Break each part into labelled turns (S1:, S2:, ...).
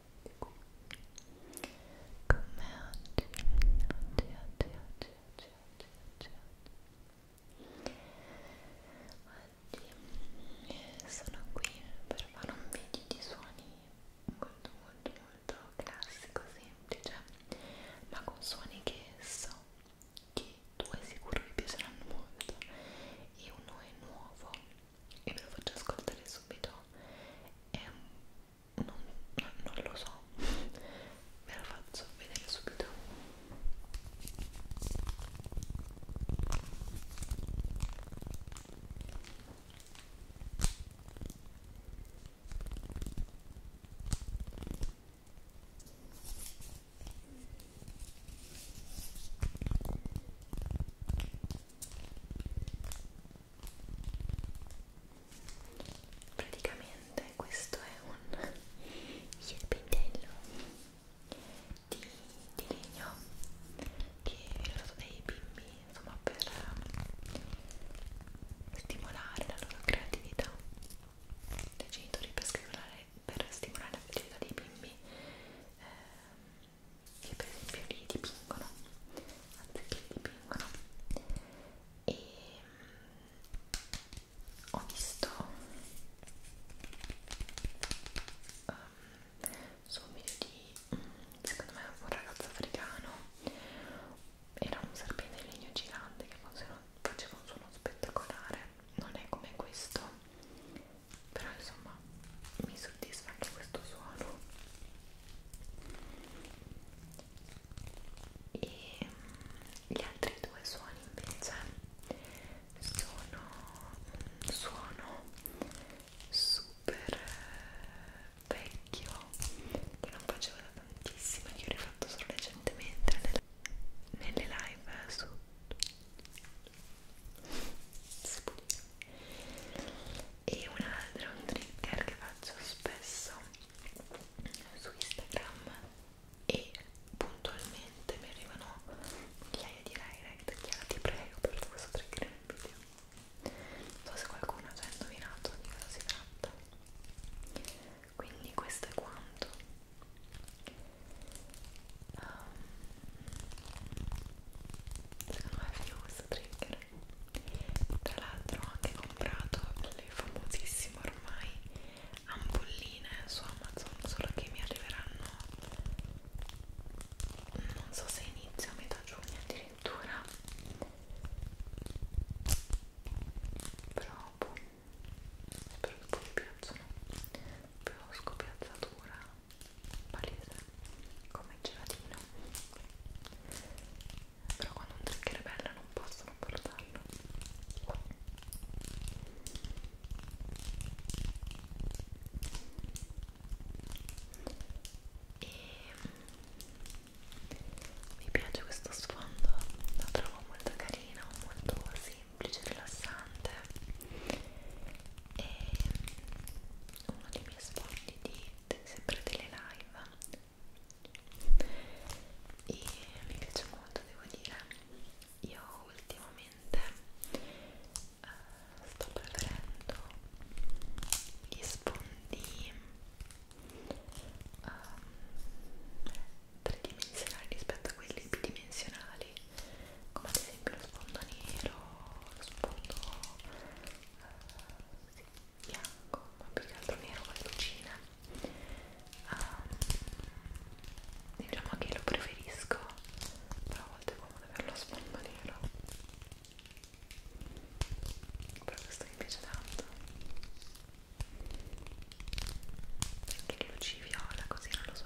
S1: con me oggi, oggi, oggi, oggi, oggi, oggi, oggi, oggi sono qui per fare un video di suoni molto molto molto classico, semplice ma con suoni che so che due sicuro vi piaceranno molto e uno è nuovo e ve lo faccio ascoltare subito è un non, non lo so ve la faccio vedere subito praticamente questo è un serpentello di, di legno che viene usato dai bimbi insomma per stimolare la loro creatività dai genitori per stimolare, per stimolare la creatività dei bimbi eh, che per esempio li dipingono anziché dipingono e mm, ho visto um, su un video di mm, secondo me un ragazzo africano era un serpente di legno gigante che faceva un suono spettacolare non è come questo però insomma mi soddisfa anche questo suono e mm, gli altri due suoni invece sono un suono super eh, vecchio che non facevo da tantissimo che ho rifatto solo recentemente nelle, nelle live su e un altro un trigger che faccio spesso su Instagram e puntualmente mi arrivano migliaia di direct Chiara ti prego per questo trigger nel video non so se qualcuno ha già indovinato di cosa si tratta quindi questo è quanto um, secondo me è figo questo trigger tra l'altro ho anche comprato le famosissime ormai ampolline su Amazon solo che mi arriveranno non so se inizio a metà giugno addirittura provo boh, spero che poi mi piacciono più scopiazzatura palese come il gelatino però quando un trigger è bello non posso non portarlo e mi piace questo sfondo lo trovo molto carino molto semplice rilassante e uno dei miei sfondi di sempre delle live e mi piace molto devo dire io ultimamente eh, sto preferendo gli sfondi eh, tridimensionali rispetto a quelli bidimensionali come ad esempio lo sfondo nero lo sfondo sì, bianco, ma più che altro nero con le lucine um, diciamo che lo preferisco però a volte è comodo averlo a sfondo nero però questo mi piace tanto perché le luci viola così non lo so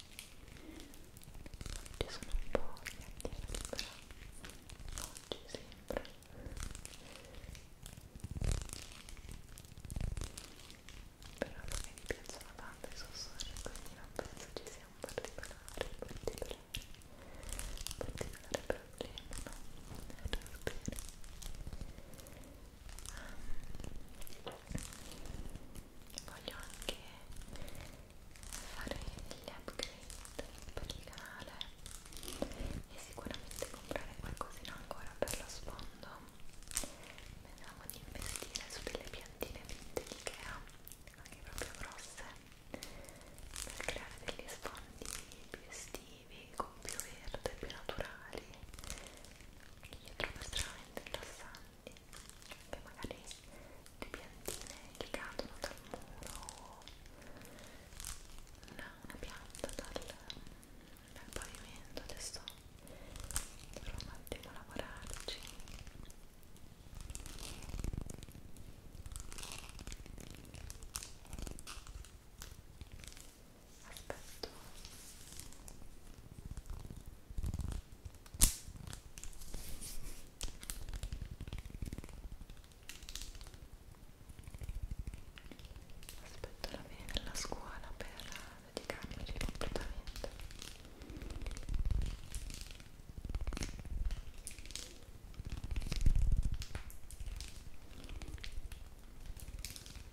S1: Oggi sono un po' chiacchierata, però oggi sembra i sussurri quindi non penso ci sia voglio anche fare degli upgrade per il canale e sicuramente comprare qualcosina ancora per lo sfondo vediamo di investire su delle piantine di Ikea anche proprio grosse per creare degli sfondi più estivi con più verde, più naturali io trovo estremamente interessante che magari le piantine che cadono dal muro una, una pianta dal, dal pavimento adesso dovrò un attimo lavorarci aspetto Aspetto la fine della scuola per dedicarmi completamente.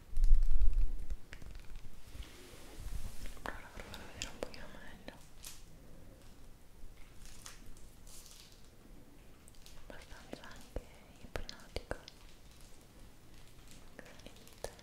S1: allora provo a vedere un pochino meglio abbastanza anche ipnotica granita ok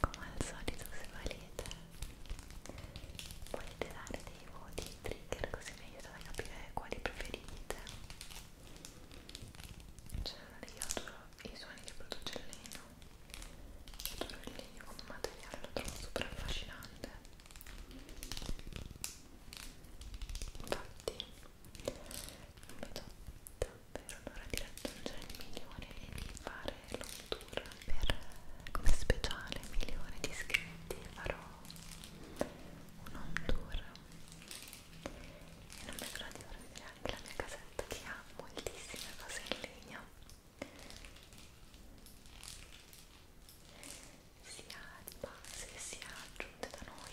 S1: come al solito se volete potete dare dei voti trigger così mi aiutate a capire quali preferite cioè io adoro i suoni che produce il legno adoro il legno come materiale lo trovo super affascinante infatti non vedo davvero l'ora di raggiungere il milione e di fare l'otto tour per come speciale milione di iscritti farò un home tour e non vedo l'ora di farvi vedere anche la mia casetta che ha moltissime cose in legno sia di base sia aggiunte da noi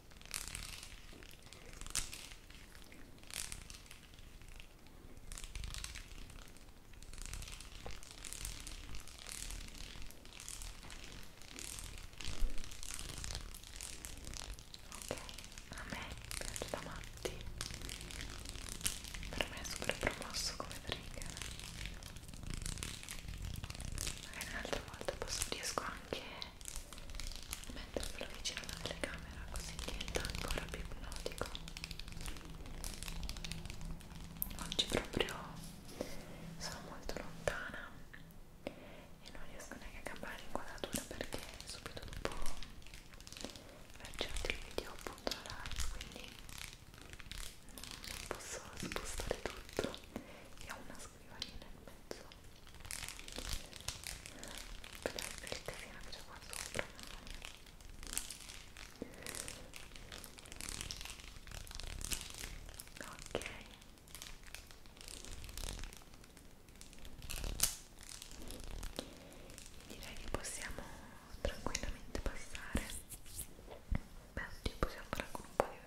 S1: Ok, a me piace da matti. Per me è super promosso come trigger. Magari un'altra volta posso riesco anche mentre lo avvicino alla telecamera così diventa ancora più ipnotico oggi proprio sono molto lontana e non riesco neanche a cambiare l'inquadratura perché subito dopo aver girato il video appunto la live quindi non posso spostare tutto e ho una scrivaglia nel mezzo per il casino che c'è qua sopra ok direi che possiamo tranquillamente passare beh, possiamo fare anche un po' di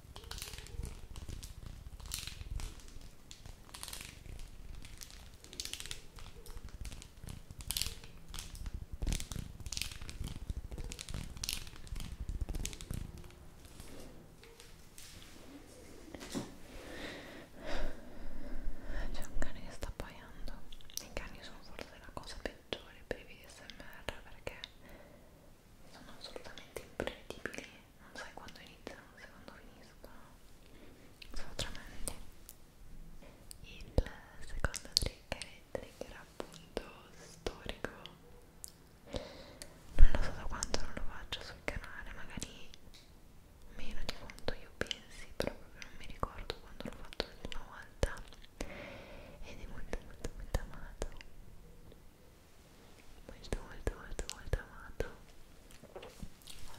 S1: C'è un cane che sta appaiando. I cani sono forse la cosa peggiore per i VSMR perché sono assolutamente imprevedibili, non sai quando iniziano, non sai quando finiscono, sono tremendi. Il secondo trigger è il trigger appunto storico, non lo so da quanto non lo faccio sul canale, magari meno di quanto io pensi, però proprio non mi ricordo quando l'ho fatto l'ultima volta ed è molto molto molto amato molto molto molto molto amato ho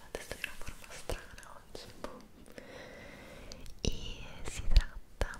S1: la testa di una forma strana oggi boh. e si tratta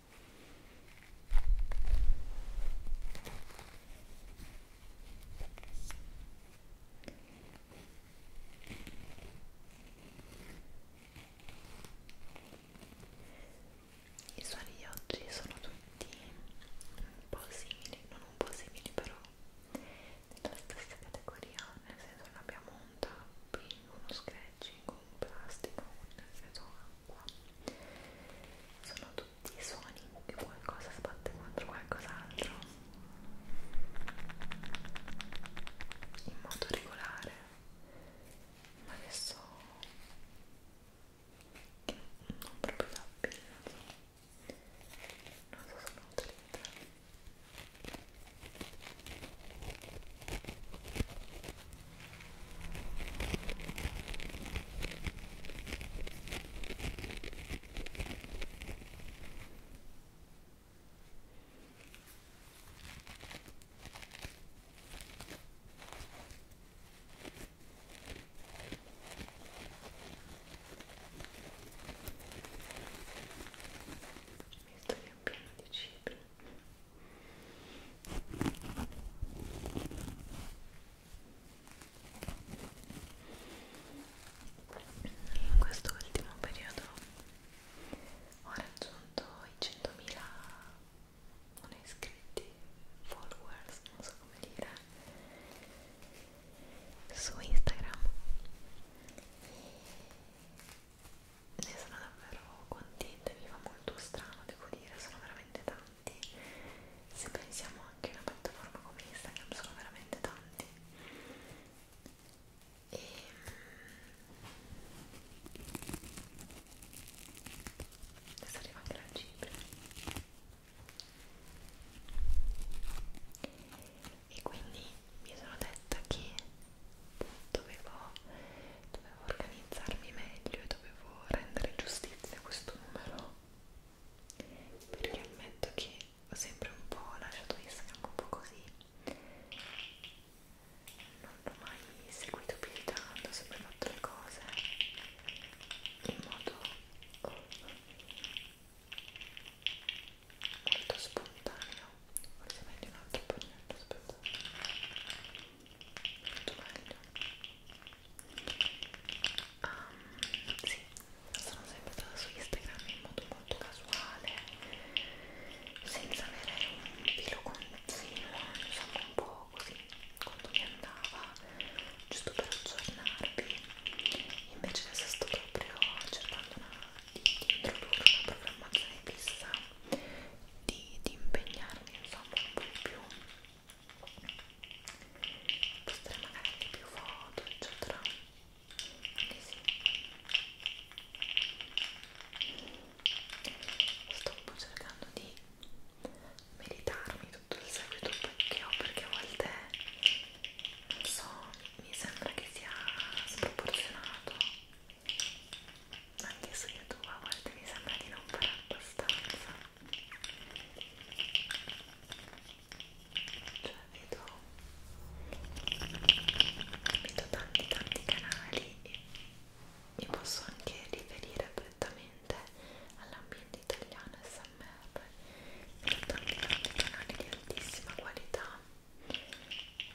S1: I suoni di oggi sono tutti un po' simili, non un po' simili però nella stessa categoria, nel senso non abbiamo un tapping, uno scratching, un plastico, un effetto acqua sono tutti i suoni che qualcosa sbatte contro qualcos'altro in modo regolare ma adesso che non proprio tappino non so se non utilizzare mi sto riempiendo di cibi in quest'ultimo periodo ho raggiunto i 100.000 non iscritti followers non so come dire su Instagram ne sono davvero contenta mi fa molto strano devo dire sono veramente tanti se pensiamo anche a una piattaforma come Instagram sono veramente tanti e ehm, adesso arriva anche la cipria e quindi mi sono detta che dovevo, dovevo organizzarmi meglio e dovevo rendere giustizia a questo numero perché ammetto che ho sempre un po' lasciato Instagram un po' così non l'ho mai seguito più di tanto ho sempre fatto le cose in modo molto spontaneo forse meglio un altro po' spontaneo molto meglio um, ehm, sì, sono sempre stata su Instagram in modo molto casuale senza avere un filo continuo insomma diciamo, un po' così quando mi andava giusto per aggiornarvi invece adesso sto proprio cercando una, di, di introdurre una programmazione fissa di, di impegnarmi insomma un po' di più postare magari anche più foto eccetera quindi sì sto un po' cercando di meditarmi tutto il seguito che ho perché a volte non so mi sembra che sia sproporzionato anche su youtube a volte mi sembra di non fare abbastanza cioè vedo vedo tanti tanti canali e mi posso anche riferire prettamente all'ambiente italiano SMR vedo tanti tanti canali di altissima qualità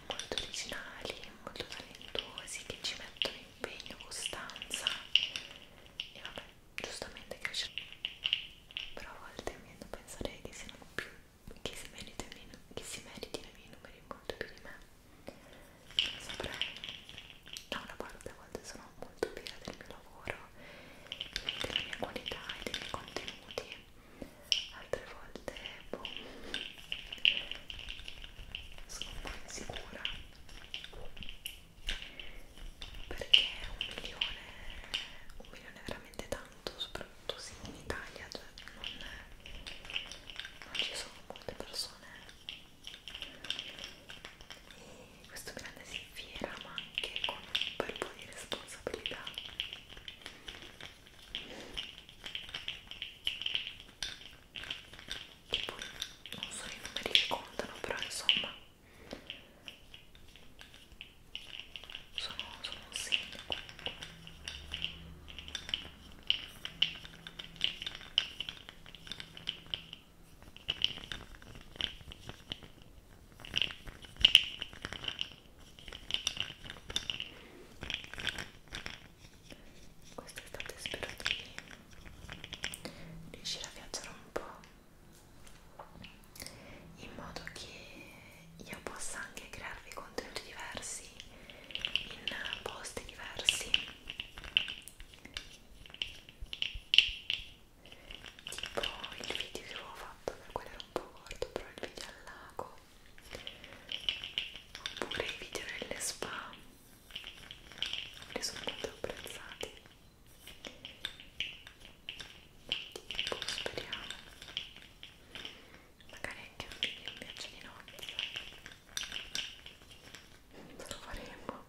S1: molto originali, molto talentuosi che ci mettono impegno, costanza e vabbè, giustamente cresce. Però a volte mi hanno pensato che siano più che si meritino i miei numeri molto più di me. Non saprei, da una parte a volte sono molto fiera del mio lavoro, della mia qualità e dei miei contenuti, altre volte boh, sono un po' insicura perché un milione un milione è veramente tanto soprattutto se in Italia cioè non, non ci sono molte persone e questo grande si fiera ma anche con un bel po' di responsabilità che poi non so i numeri che contano però insomma sono, sono un segno quest'estate spero di riuscire a viaggiare un po' in modo che io possa anche crearvi contenuti diversi in posti diversi tipo il video che avevo fatto per quello era un po' corto però il video al lago oppure i video nelle spa li sono molto apprezzati tipo speriamo magari anche un video in viaggio di notte cioè. lo faremo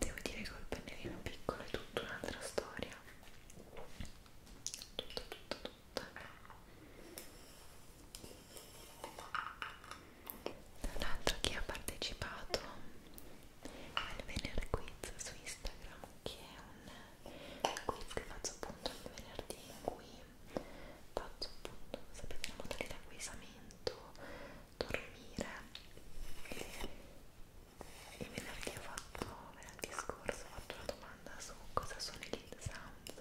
S1: Devo dire che col pennellino piccolo è tutta un'altra storia. Tutta, tutta, tutta dall'altro chi ha partecipato al Vener Quiz su Instagram che è un quiz che faccio appunto il venerdì in cui faccio appunto, sapete, la modalità guisamento, dormire il venerdì ho fatto, venerdì scorso ho fatto una domanda su cosa sono i lead sounds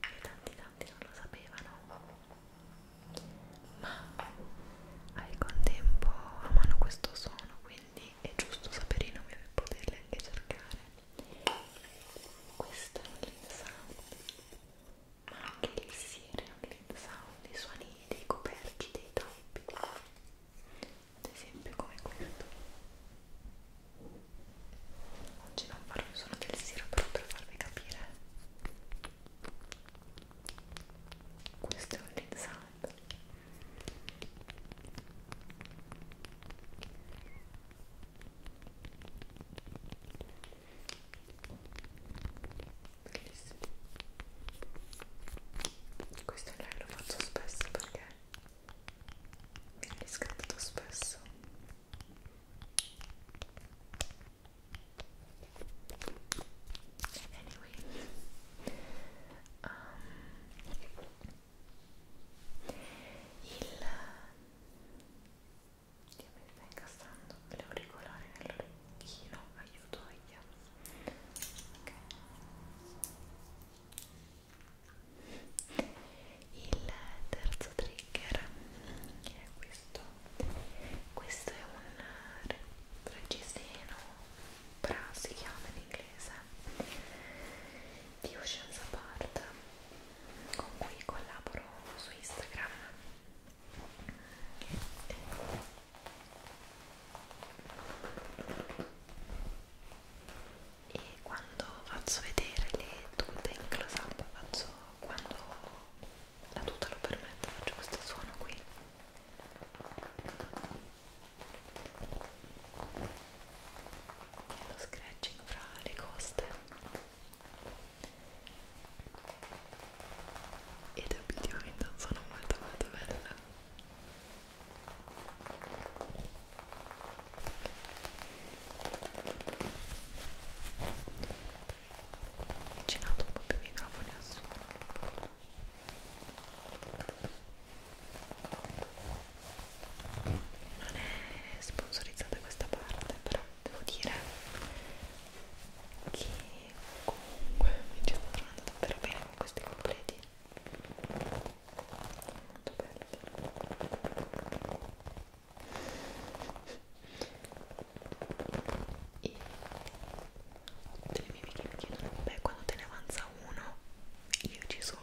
S1: e tanti tanti non lo sapevano ma al contempo amano questo suono quindi è giusto sapere i nomi per poterli anche cercare questo è un lead sound ma anche il siere è un lead sound i suoni dei coperchi, dei tappi ad esempio come questo oggi non farò il suono del siero però per farvi capire questo è un lid sound bellissimo questo live lo faccio spesso perché mi è riscattato spesso Anyway, um, il che mi sta incassando l'auricolare nell'orecchino, aiuto io. Ok. Il terzo trigger che è qui questo questo è un reggiseno bra si chiama in inglese di Ocean's Apart con cui collaboro su Instagram e quando faccio vedere le tute in close up faccio quando la tuta lo permette, faccio questo suono qui e lo scratching fra le coste ed obiettivamente un suono molto molto bello avvicinato un po' più i microfoni al suono non è sponsorizzata questa parte però devo dire che comunque mi ci sto trovando davvero bene con questi completi molto belli e ho delle mie amiche mi chiedono beh quando te ne avanza uno io ci sono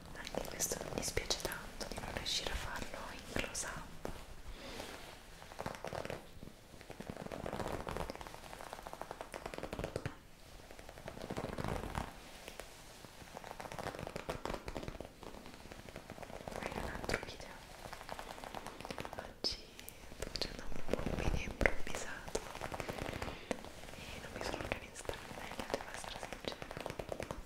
S1: anche questo mi dispiace tanto di non riuscire a farlo in close up in un altro video oggi sto facendo un po' un video improvvisato e non mi sono organizzata meglio devo essere sincera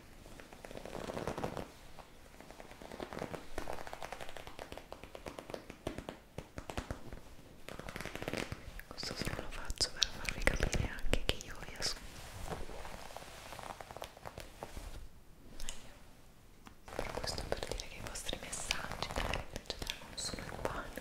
S1: questo solo lo faccio per farvi capire anche che io vi ascolto per questo per dire che i vostri messaggi eccetera non sono in pane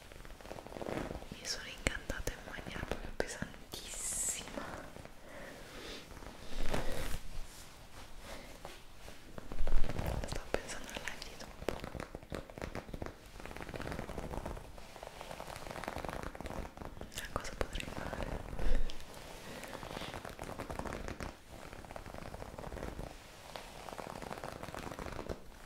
S1: mi sono incantata in maniera proprio pesantissima sto pensando al live di dopo a cioè, cosa potrei fare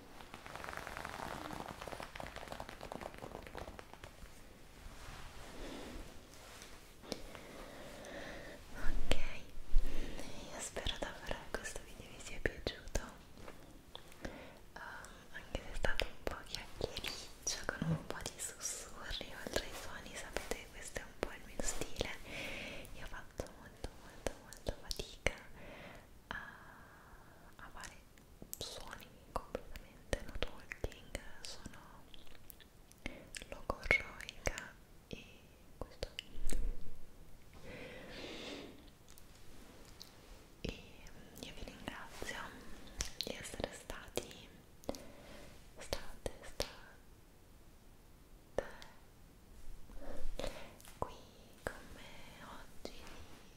S1: Ok, io spero davvero che questo video vi sia piaciuto, um, anche se è stato un po' chiacchiericcio con un po' di sussurri oltre ai suoni, sapete questo è un po' il mio stile, io vado fatto molto molto molto fatica a, a fare suoni completamente no talking sono logorroica e questo e mm, io vi ringrazio di essere stati state state qui con me oggi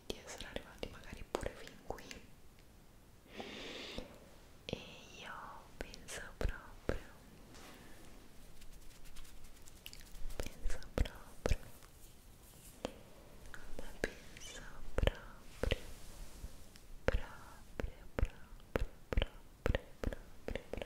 S1: di essere arrivati magari pure fin qui e io penso proprio penso proprio ma penso proprio proprio proprio proprio proprio proprio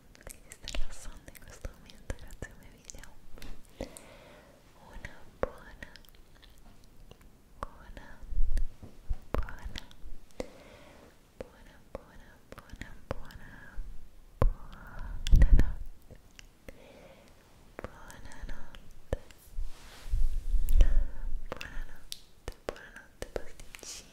S1: rilassando, che ti stai rilassando in questo momento grazie ai miei video una buona buona buona buona buona buona buona buona notte buonanotte buonanotte buonanotte pasticcini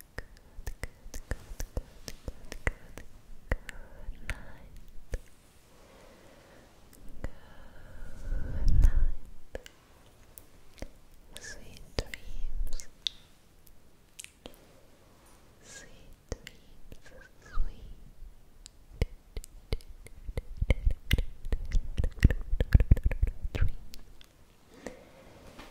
S1: good, good, good, good, good, good, good night. Good night. Sweet dreams. Sweet dreams. Sweet dreams.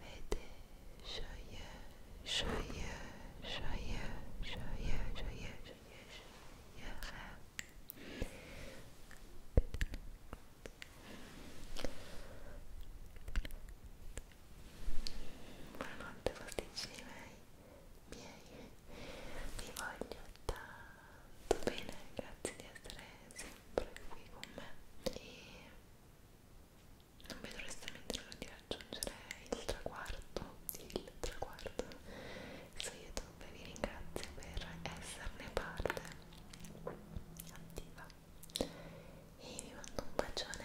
S1: Vede, sciogliere, sciogliere, sciogliere, sciogliere, sciogliere, sciogliere. Buonanotte pasticcini miei, miei, vi voglio tanto bene, grazie di essere sempre qui con me e non vedo l'estremamente di raggiungere il traguardo, il traguardo. Su YouTube vi ringrazio per esserne parte attiva e vi mando un bacione.